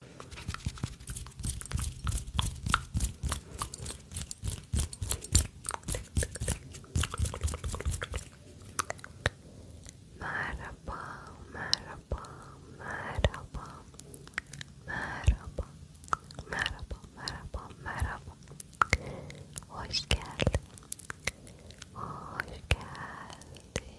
Merhaba, merhaba, merhaba, merhaba, merhaba, merhaba, merhaba. Hoş geldin, hoş geldin,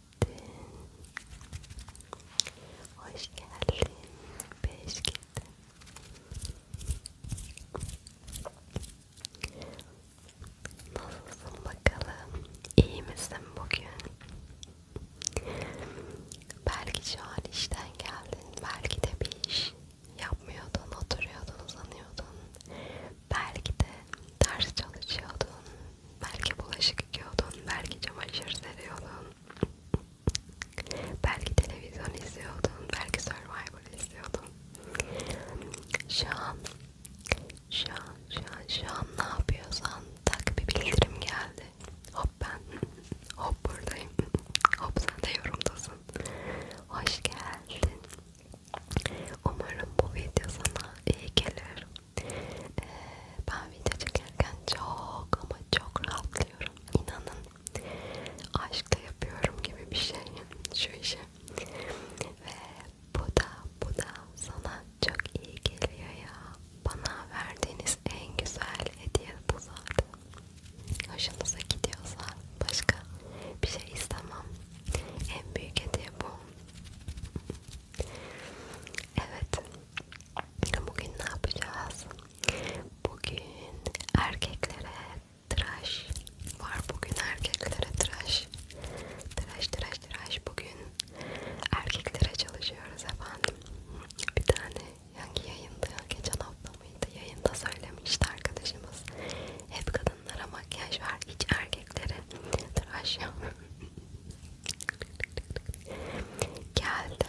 Hoş geldin. Beş gittin. Nasılsın bakalım? İyi misin bugün? Belki şu an işten geldin. Belki de bir iş yapmıyordun, oturuyordun, uzanıyordun. Belki de ders çalışıyordun, belki bulaşık yıkıyordun, belki çamaşır seriyordun, belki televizyon izliyordun, belki Survivor izliyordun. Şu an, şu an, şu an, şu an ne yapıyorsan tak bir bildirim geldi. Hop ben, hop buradayım, hop sen de yorumdasın. Hoş geldin. Umarım bu video sana iyi gelir. Ee, ben video çekerken çok ama çok rahatlıyorum. İnanın aşkla yapıyorum gibi bir şey şu işi. Ve bu da bu da sana çok iyi geliyor ya. Bana verdiğiniz en güzel hediye bu zaten. Hoşunuza gidiyorsa başka bir şey istemem. En büyük hediye bu. Evet. Bugün ne yapacağız? Bugün erkeklere tıraş var. Bugün erkeklere tıraş. Tıraş tıraş tıraş. Bugün erkeklere çalışıyoruz efendim. Bir tane hangi yayında geçen hafta mıydı? Yayında söylemişti arkadaşımız. Hep kadınlara makyaj var. Hiç erkeklere tıraş yok. Geldi.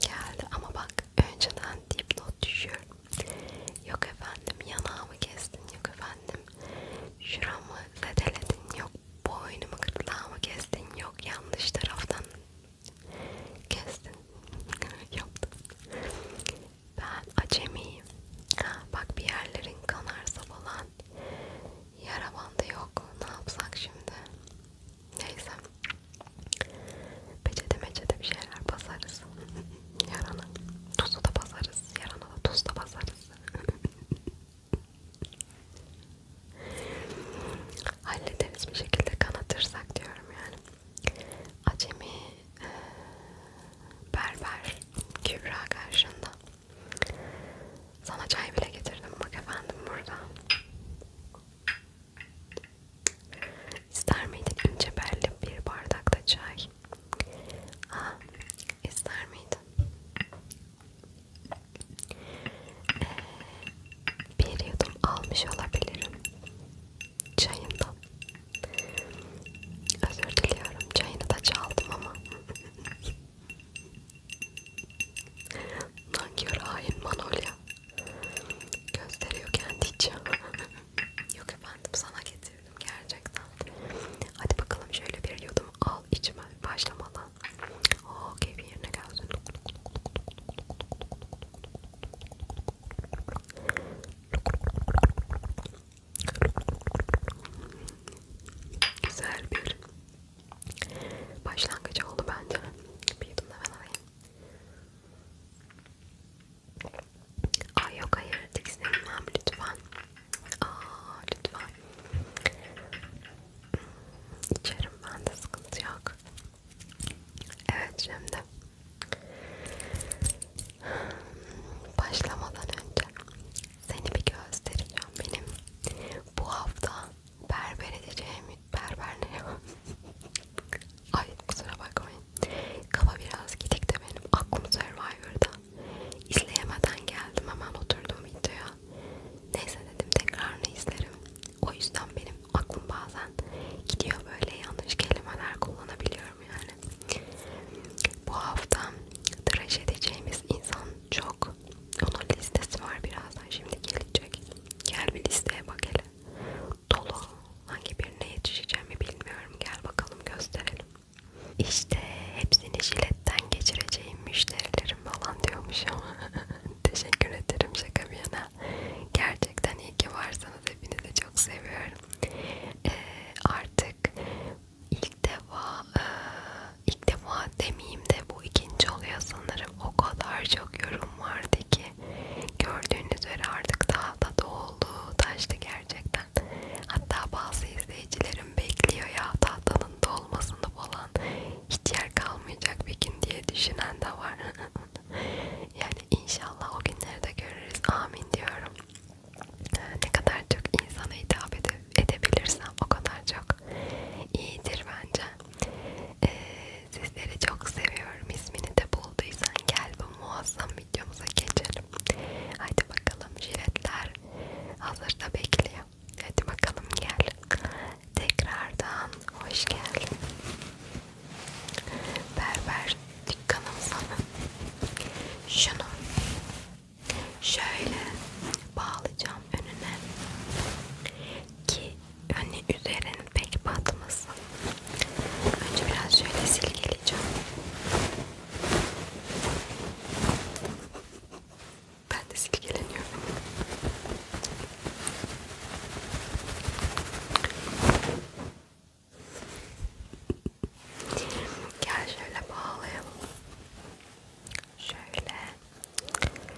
Geldi ama bak önceden dipnot düşüyorum. Yok efendim yanağımı kestin. Yok efendim şuramı zedeledin. Yok boynumu gırtlağımı kestin. Yok yanlış taraftan kestin. Yaptım. Ben acemiyim. Ha, bak bir yerlerin kanarsa falan Yara bandı yok. Ne yapsak şimdi? Neyse. Peçete meçete bir şeyler basarız. Yarana. Tuzu da basarız. Yarana da tuz da basarız. Hallederiz bir şekilde kanatırsak diyorum yani. Acemi e, berber Kübra karşında sana çay bile getirdim bak efendim burada. İster miydin ince belli bir bardakta çay? Aa, ister miydin? Ee, bir yudum almış olabilirim. Çayından. Özür diliyorum. Çayını da çaldım ama. Nankör hain Manolya gösteriyor kendi için. Yok efendim sana getirdim gerçekten. Hadi bakalım şöyle bir yudum al içme başlamadan. Oo oh, keyfi yerine gelsin. Güzel bir Başlangıcı oldu bence. Bir yudum da ben alayım. Aa yok hayır tiksinmem lütfen. Aa lütfen. İçerim ben de sıkıntı yok. Evet şimdi. Başlamadan önce seni bir göstereceğim benim. Bu hafta berber edeceğim. Berber ne ya? Ay kusura bakmayın. Kafa biraz gidik de benim. Aklım Survivor'da. İzleyemeden geldim hemen oturdum videoya. Neyse dedim tekrarını izlerim. O yüzden benim aklım bazen gidiyor böyle yanlış kelimeler kullanabiliyorum yani. Bu hafta tıraş edeceğimiz insan çok. Onun listesi var birazdan şimdi gelecek. Gel bir listeye bak hele. Dolu. Hangi birine yetişeceğimi bilmiyorum. Gel bakalım gösterelim. İşte hepsini jiletten geçireceğim müşterilerim falan diyormuş ama teşekkür ederim şaka bir yana. Gerçekten iyi ki varsanız hepinizi çok seviyorum. Ee, artık ilk defa e, ilk defa demeyeyim de bu ikinci oluyor sanırım. O kadar çok yorum vardı ki gördüğünüz üzere artık daha da doldu, taştı gerçekten. Hatta bazı izleyicilerim bekliyor ya tahtanın dolmasını falan hiç yer kalmayacak bir gün diye düşünen de var. yani inşallah o günleri de görürüz. Amin diyorum. Ne kadar çok insana hitap edebilirsem o kadar çok iyidir bence. Ee, sizleri çok seviyorum. İsmini de bulduysan gel bu muazzam videomuza geçelim. Haydi bakalım jiletler hazırda bekliyor. Hadi bakalım gel. Tekrardan hoş geldin. Berber dükkanım sana. Şunu şöyle bağlayacağım önüne ki hani üzerinin pek batmasın. Önce biraz şöyle silkeleyeceğim. Ben de silkeleniyorum. Gel şöyle bağlayalım. Şöyle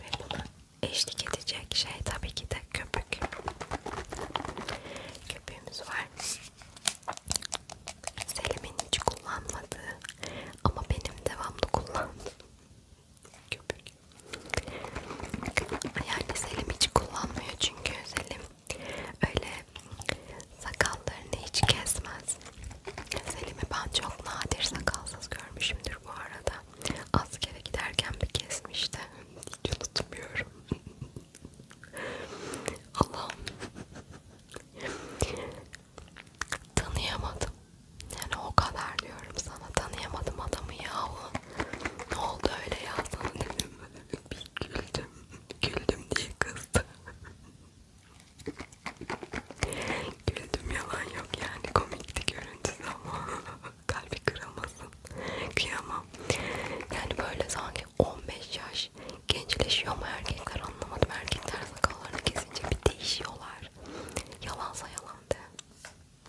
ve buna eşlik edecek şey tabii ki de köpük. Köpüğümüz var. Selim'in hiç kullanmadığı ama benim devamlı kullandığım köpük. Yani Selim hiç kullanmıyor çünkü Selim öyle sakallarını hiç kesmez. Selim'i ben çok nadir sakalsız görmüşümdür gündür bu arada. Askere giderken bir kesmişti. Hiç unutmuyorum. Allah'ım. Tanıyamadım. Yani o kadar diyorum sana. Tanıyamadım adamı yahu. Ne oldu öyle ya sana dedim. Bir güldüm. Güldüm diye kızdı. Güldüm yalan yok yani komikti görüntüsü ama kalbi kırılmasın. Kıyamam. Yani böyle sanki 15 yaş gençleşiyor ama erkekler anlamadım. Erkekler sakallarını kesince bir değişiyorlar. Yalansa yalan de.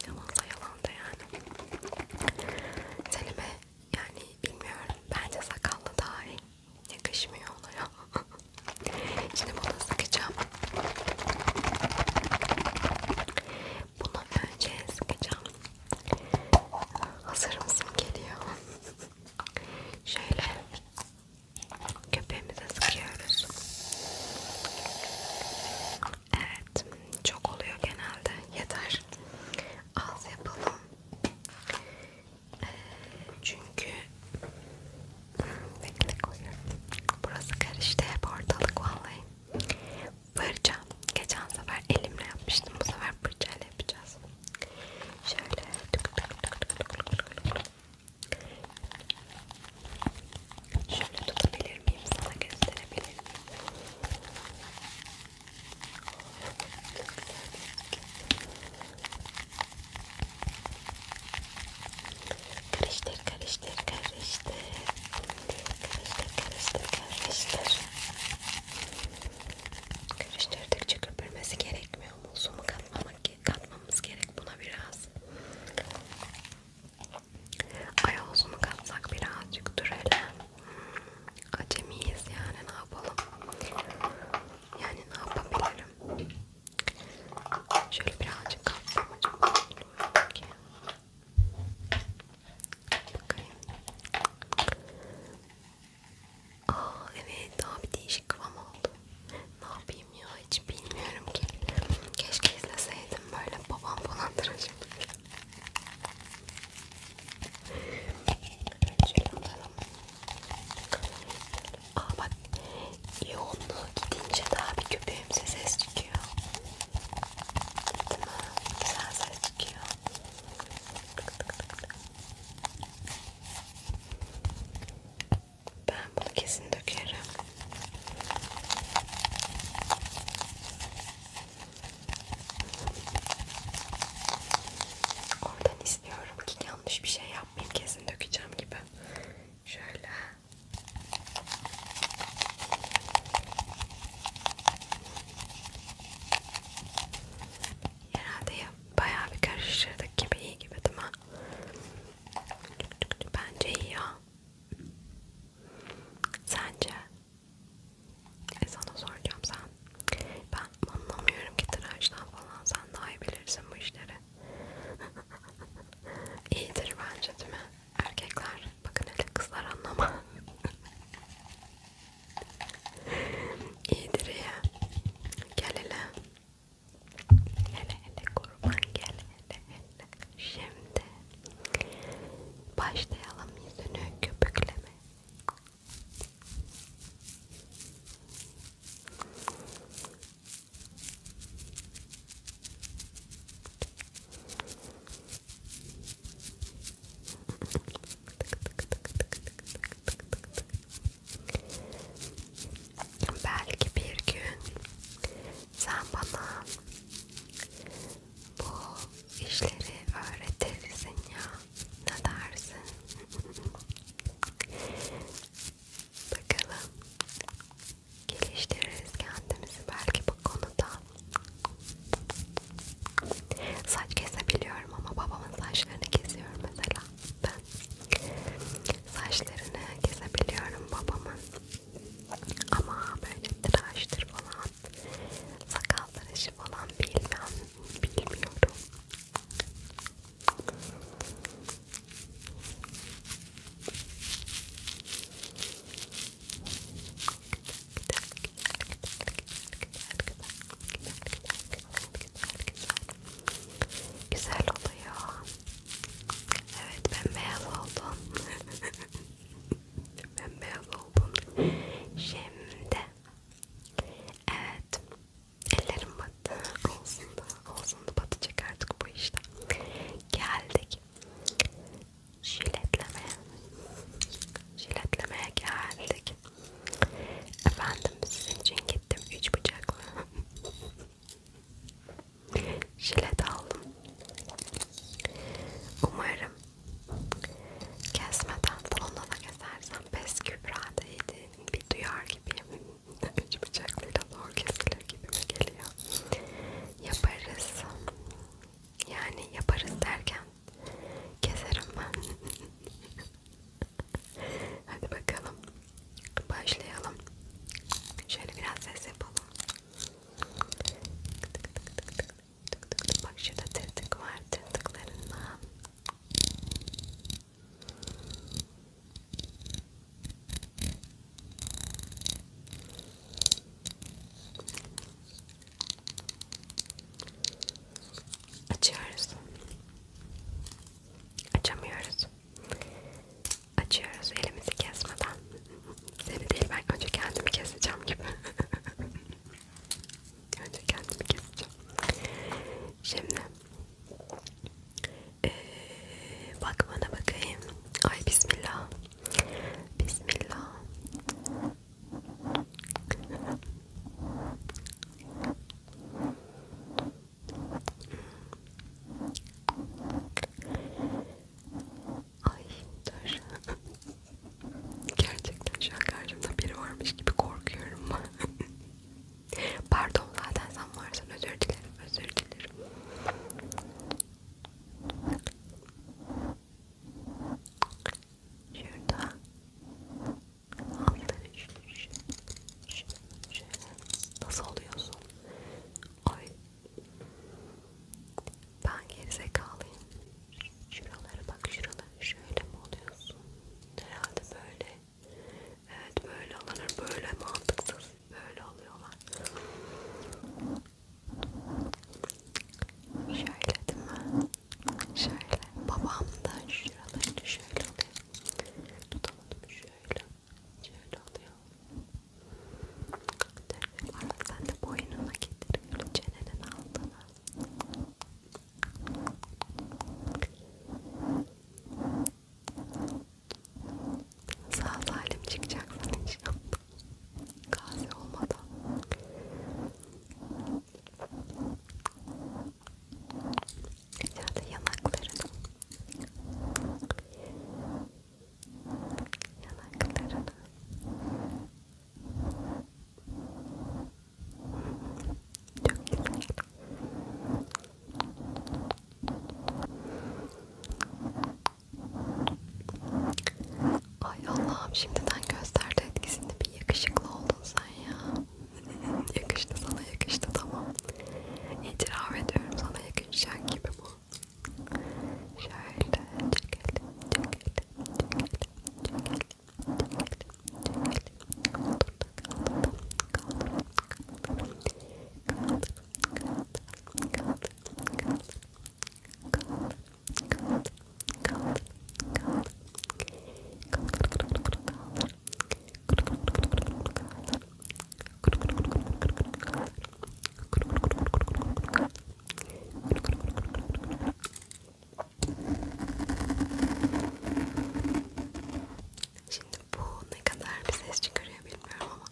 Yalansa yalan de yani. Selime yani bilmiyorum. Bence sakallı daha iyi. Yakışmıyor ona ya. Şimdi bunu sıkacağım. Bunu önce sıkacağım. Hazır mısın geliyor? Şöyle köpeğimize sıkıyoruz. Evet, çok oluyor genelde. Yeter. Az yapalım. Ee, çünkü Bekle koyuyorum. Burası karıştı hep ortalık vallahi. Fırça. Geçen sefer elimle yapmıştım. Bu sefer fırçayla yapacağız. Şöyle. Şöyle tutabilir miyim? Sana gösterebilir miyim? Karıştır, karıştır, karıştır. Karıştır, karıştır, karıştır. Karıştırdıkça köpürmesi gerekmiyor mu? Sumu katmamak, katmamız gerek buna biraz. Ayol sumu katsak birazcık dur hele. Hmm, acemiyiz yani ne yapalım? Yani ne yapabilirim? Şöyle birazcık kafamı çekiyorum. Bakayım. Aa evet daha bir değişik kıvam oldu. Ne yapayım ya hiç bilmiyorum ki. Keşke izleseydim böyle babam falan tıraşım. Şöyle alalım. Aa bak yoğunluğu gidince daha bir köpeğimize ses çıkıyor. Değil mi? Güzel ses çıkıyor. Ben bunu kesin dökerim. Oradan istiyorum ki yanlış bir şey yapmayayım kesin dökeceğim gibi. Şöyle. Herhalde bayağı bir karıştırdık gibi iyi gibi değil mi? Bence iyi ya. Sence? E sana soracağım sen. Ben anlamıyorum ki tıraştan falan. Sen daha iyi bilirsin bu işleri. İyidir bence değil mi? Erkekler bakın hele kızlar anlamaz. İyidir ya. Gel hele. Hele hele kurban gel hele hele. Şimdi başlayalım yüzünü köpükleme. Belki bir gün sen bana bu işleri öğretirsin ya. Ne dersin? Bakalım geliştiririz kendimizi belki bu konuda. Saç kesebiliyorum ama babamın saçlarını kesiyorum mesela ben. Saçlarını kesebiliyorum babamın. Ama böyle tıraştır falan, sakal tıraşı falan bilmem, bilmiyorum. Güzel oluyor. Evet ben beyaz oldum. ben beyaz oldum. Şimdi evet ellerim battı. Olsun da olsun da batacak artık bu işte. Geldik Jiletlemeye. Jiletlemeye geldik. Efendim sizin için gittim üç bıçakla. Jilet aldım. Umarım kesmeden salonda da kesersem pes kübra değdi. Bir duyar gibiyim. üç bıçaklıyla zor kesildi olabilir gibi mi geliyor? Yaparız. Yani yaparız derken keserim ben. Hadi bakalım. Başlayalım. Şöyle biraz ses yapalım. Bak şurada tırtık var. Tırtıklarından. Açıyoruz. Açamıyoruz. Açıyoruz elimizi kesmeden. Seni değil ben önce kendimi keseceğim gibi. önce kendimi keseceğim. Şimdi ee, bakmana bakayım. Ay bismillah. Bismillah. Ay dur. Gerçekten şu an karşımda biri varmış gibi korkuyorum. Pardon zaten sen varsan özür dilerim, özür dilerim. Şurada altları şöyle nasıl oluyorsun? Ay ben gerizekalıyım. Şuralara bak şuralara şöyle mi oluyorsun? Herhalde böyle. Evet böyle alınır böyle mantıksız böyle alıyorlar. Şöyle değil mi? Şöyle. Babam da şuraları şöyle oluyor. Tutamadım şöyle. Şöyle oluyor. Arada sen de boynuna getiriyorum. Çenenin altına. Sağ salim çıkacaksın inşallah. Gazi olmadan. Şöyle yanaklarını. Yanaklarını. Çok güzel. Çok Ay Allah'ım şimdiden gösterdi etkisini bir yakışıklı oldun sen ya. yakıştı sana yakıştı tamam. İtiraf ediyorum sana yakışacak gibi bu. Şöyle çekelim, çekelim, çekelim, çekelim, çekelim, çekelim. Kaldırdım, kaldırdım, kaldırdım, kaldırdım, kaldırdım, kaldırdım, kaldırdım, kaldırdım, kaldır, kaldır, kaldır, kaldır. Şimdi bu ne kadar bir ses çıkarıyor bilmiyorum ama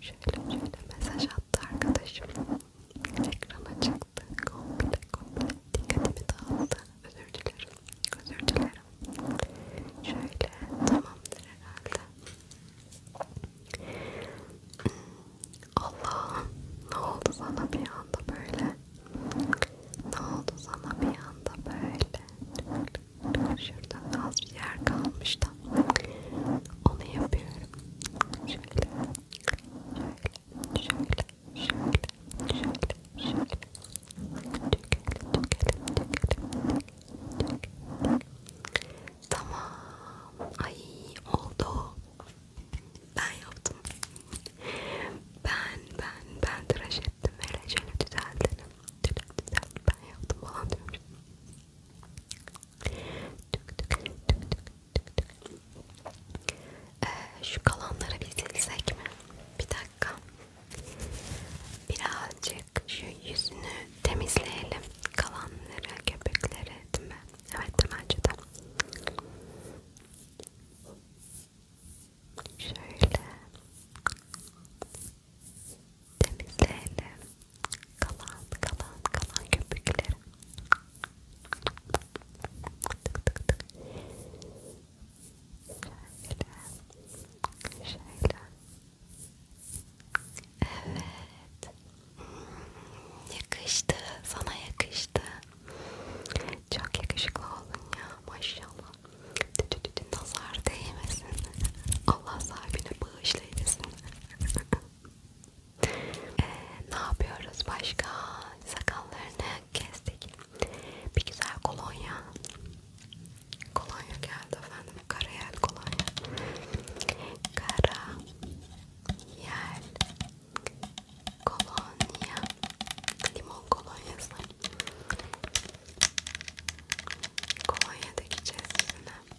Şöyle şöyle mesaj attı arkadaşım. Ekrana çıktı. Komple komple dikkatimi dağıldı. Özür dilerim. Özür dilerim. Şöyle tamamdır herhalde. Allah ne oldu sana bir anda böyle? Ne oldu sana bir anda böyle? Şurada az bir yer kalmış da onu yapıyorum şöyle, şöyle, şöyle, şöyle, şöyle, Tamam, ay oldu. Ben yaptım. Ben, ben, ben tıraş ettim. Hele şöyle düzeltelim. Düzelt, ben yaptım falan diyorum. Tük tük tük tük tük. Ee, şu kalanları bir silsek mi? Bir dakika. Birazcık şu yüzünü temizleyelim. Kalanları, köpükleri değil mi? Evet bence de. Şöyle temizleyelim kalan kalan kalan köpükleri tık tık tık şöyle şöyle evet yakıştı sana yakıştı çok yakışıklı oldun ya maşallah nazar değmesin Allah sahibine bağışlayasın ee, ne yapıyoruz başka? Sakallarını kestik. Bir güzel kolonya. Kolonya geldi efendim. Karayel kolonya. Kara yel kolonya. Limon kolonyası. Kolonya dikeceğiz sizinle. Gel bakalım.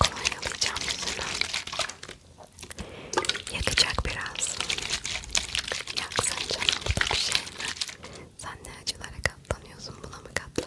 Kolonyalayacağım yüzünü. Yakacak biraz. Yaksın canım bu da bir şey mi? Sen ne acılara katlanıyorsun buna mı katlanıyorsun?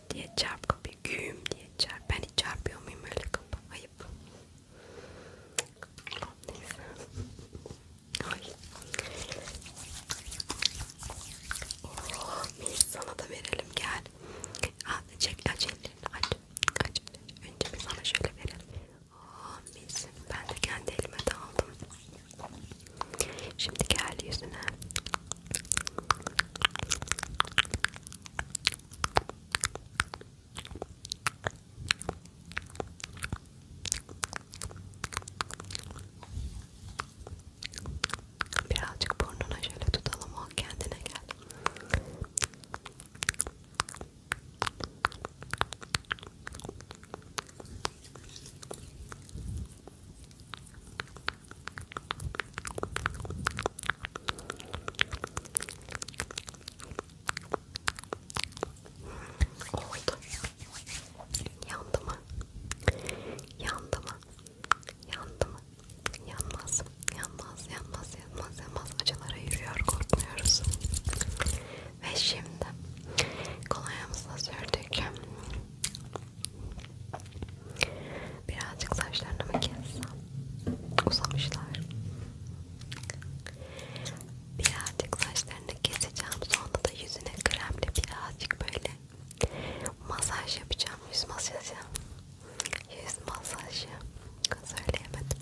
çarp diye çarp kapıyı güm diye çarp ben hiç çarpıyor muyum öyle kapı ayıp neyse ay oh, mis sana da verelim gel al çek aç ellerini aç aç önce bir sana şöyle verelim oh, mis ben de kendi elime de aldım Şimdi gel yüzüne. Birazcık burnuna şöyle tutalım o kendine gel. Oldu. Yandı mı? Yandı mı? Yandı mı? Yanmaz. Yanmaz, yanmaz, yanmaz, yanmaz. Acılara yürüyor, korkmuyoruz. Ve şimdi kolonyamızla sürdük. Birazcık saçlarını mı kessem? Uzamışlar. Birazcık saçlarını keseceğim. Sonra da yüzüne kremle birazcık böyle masaj yapacağım. Yüz masajı. Yüz masajı. Söyleyemedim.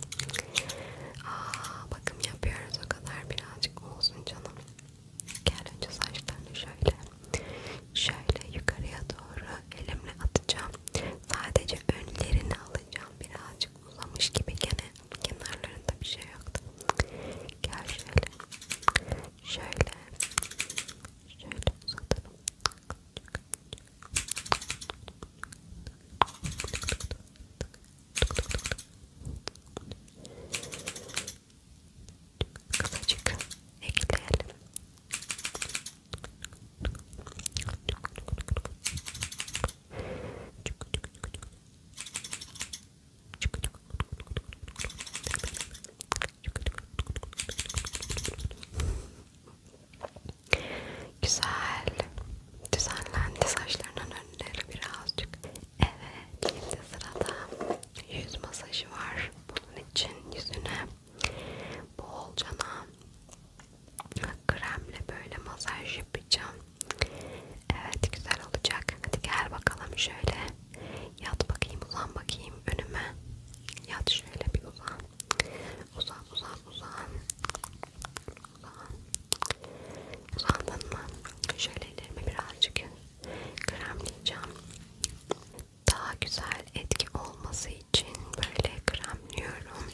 Aa, bakım yapıyoruz o kadar birazcık olsun canım. Gel önce saçlarını şöyle şöyle yukarıya doğru elimle atacağım. Sadece önlerini alacağım. Birazcık uzamış gibi gene kenarlarında bir şey yoktu. Gel şöyle. Şöyle. Şöyle uzatalım. Kısacık ekleyelim. Güzel. Düzenlendi saçlarının önleri birazcık. Evet, şimdi sırada yüz masajı var. Bunun için yüzüne Bolcana kremle böyle masaj yapacağım. Evet güzel olacak. Hadi gel bakalım şöyle. Yat bakayım uzan bakayım önüme. Yat şöyle bir uzan. Uzan uzan uzan. Uzan. Uzandın mı? Şöyle ellerime birazcık kremleyeceğim. Daha güzel etki olması için böyle kremliyorum.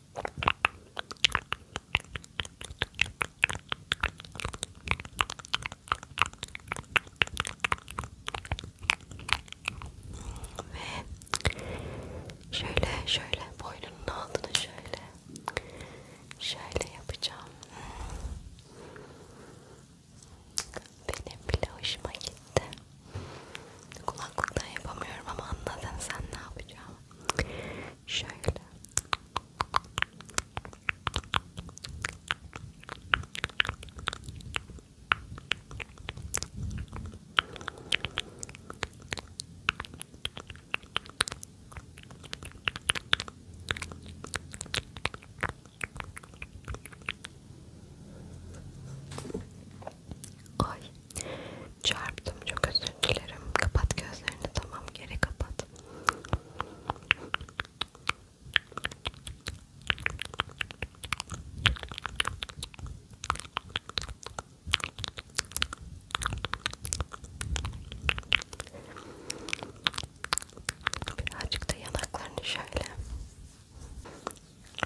Ve şöyle şöyle boynunun altını şöyle şöyle yapacağım. Benim bile hoşuma gitti. Kulaklıktan yapamıyorum ama anladın sen ne yapacağım. Şöyle. Ay çarptım çok özür dilerim. Kapat gözlerini tamam geri kapat. Birazcık da yanaklarını şöyle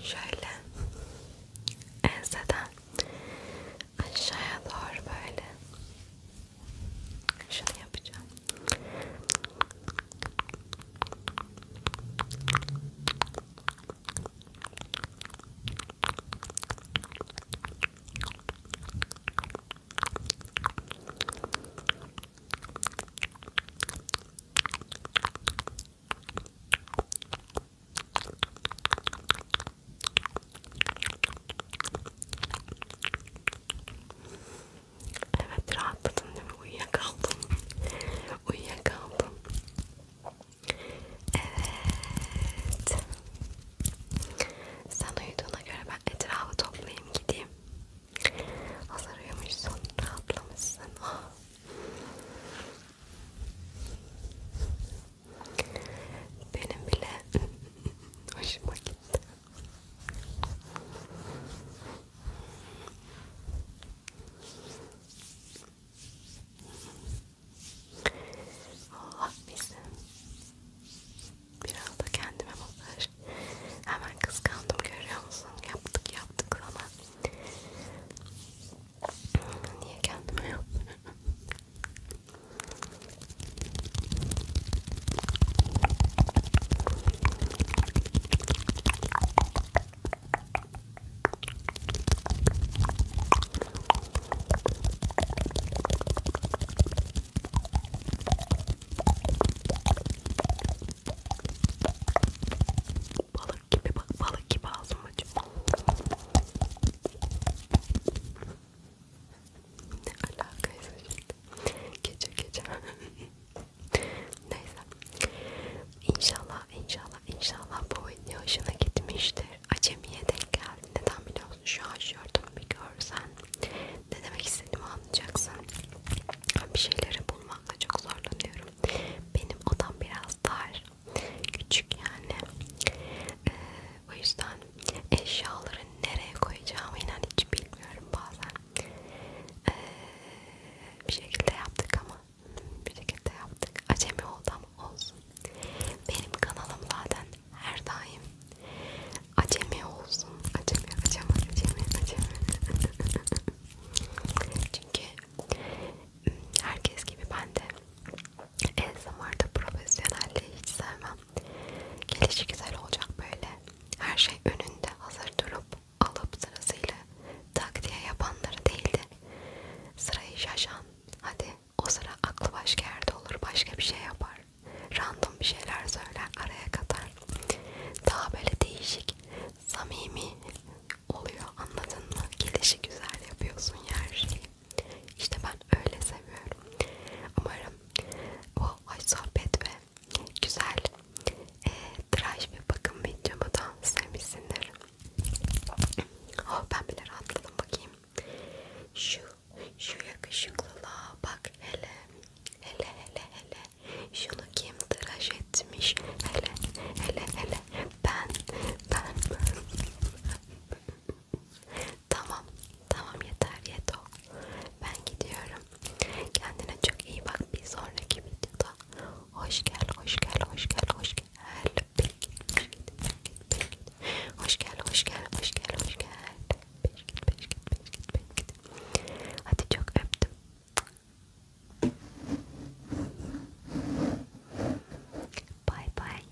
Şöyle enseden aşağıya doğru böyle şunu yapacağım Evet rahatladım değil mi? Uyuyakaldım. Uyuyakaldım. Evet. Sen uyuduğuna göre ben etrafı toplayayım gideyim. Hazır uyumuşsun, rahatlamışsın. Oh. Benim bile hoşuma gitti. Allah bizim biraz da kendime masaj hemen kıskandım görüyor musun yaptık yaptık ama niye kendime yapmıyorum Balık gibi bak balık gibi ağzım açık. Ne alakaysa şimdi. Gece gece. Neyse. İnşallah, inşallah, inşallah bu video hoşuna gitmiştir. Acemiye denk geldi. Neden biliyorsun? Şu an şortumu bir görsen ne demek istediğimi anlayacaksın. Bir şeyleri bulmakla çok zorlanıyorum. Benim odam biraz dar. Küçük yani. Ee, o yüzden eşyaları nereye koyacağımı inan hiç bilmiyorum bazen. Ee, bir şekilde yaptık ama bir şekilde yaptık. Acemi oldu ama olsun. Benim kanalım zaten her daim acemi olsun. Acemi, acemi, acemi, acemi. Çünkü herkes gibi ben de ASMR'da profesyonelliği hiç sevmem. Gelişi güzel olacak böyle. Her şey önünde hazır durup alıp sırasıyla tak diye yapanları değildi. Sırayı şaşan. Hadi o sıra aklı başka yerde olur. Başka bir şey yapar. Random bir şeyler söyler. Araya katar. Daha böyle değişik, samimi oluyor. Anladın mı? Gelişi güzel yapıyorsun ya her şeyi. İşte ben öyle seviyorum. Umarım bu hoş sohbet ve güzel e, tıraş ve bakım videomu da sevmişsindir. Oh ben bile rahatladım bakayım. Şu, şu yakışıklılığa bak hele. Hele hele hele. Şunu kim tıraş etmiş? Hele hele hele. Ben, ben, ben. Tamam, tamam yeter yeto. Ben gidiyorum. Kendine çok iyi bak. Bir sonraki videoda hoş gel, hoş gel, hoş gel, hoş gel. Peki, peki, peki, peki. Hoş gel, hoş gel, hoş gel, hoş gel. Peki, peki, peki, peki. Hadi çok öptüm. Bye bye.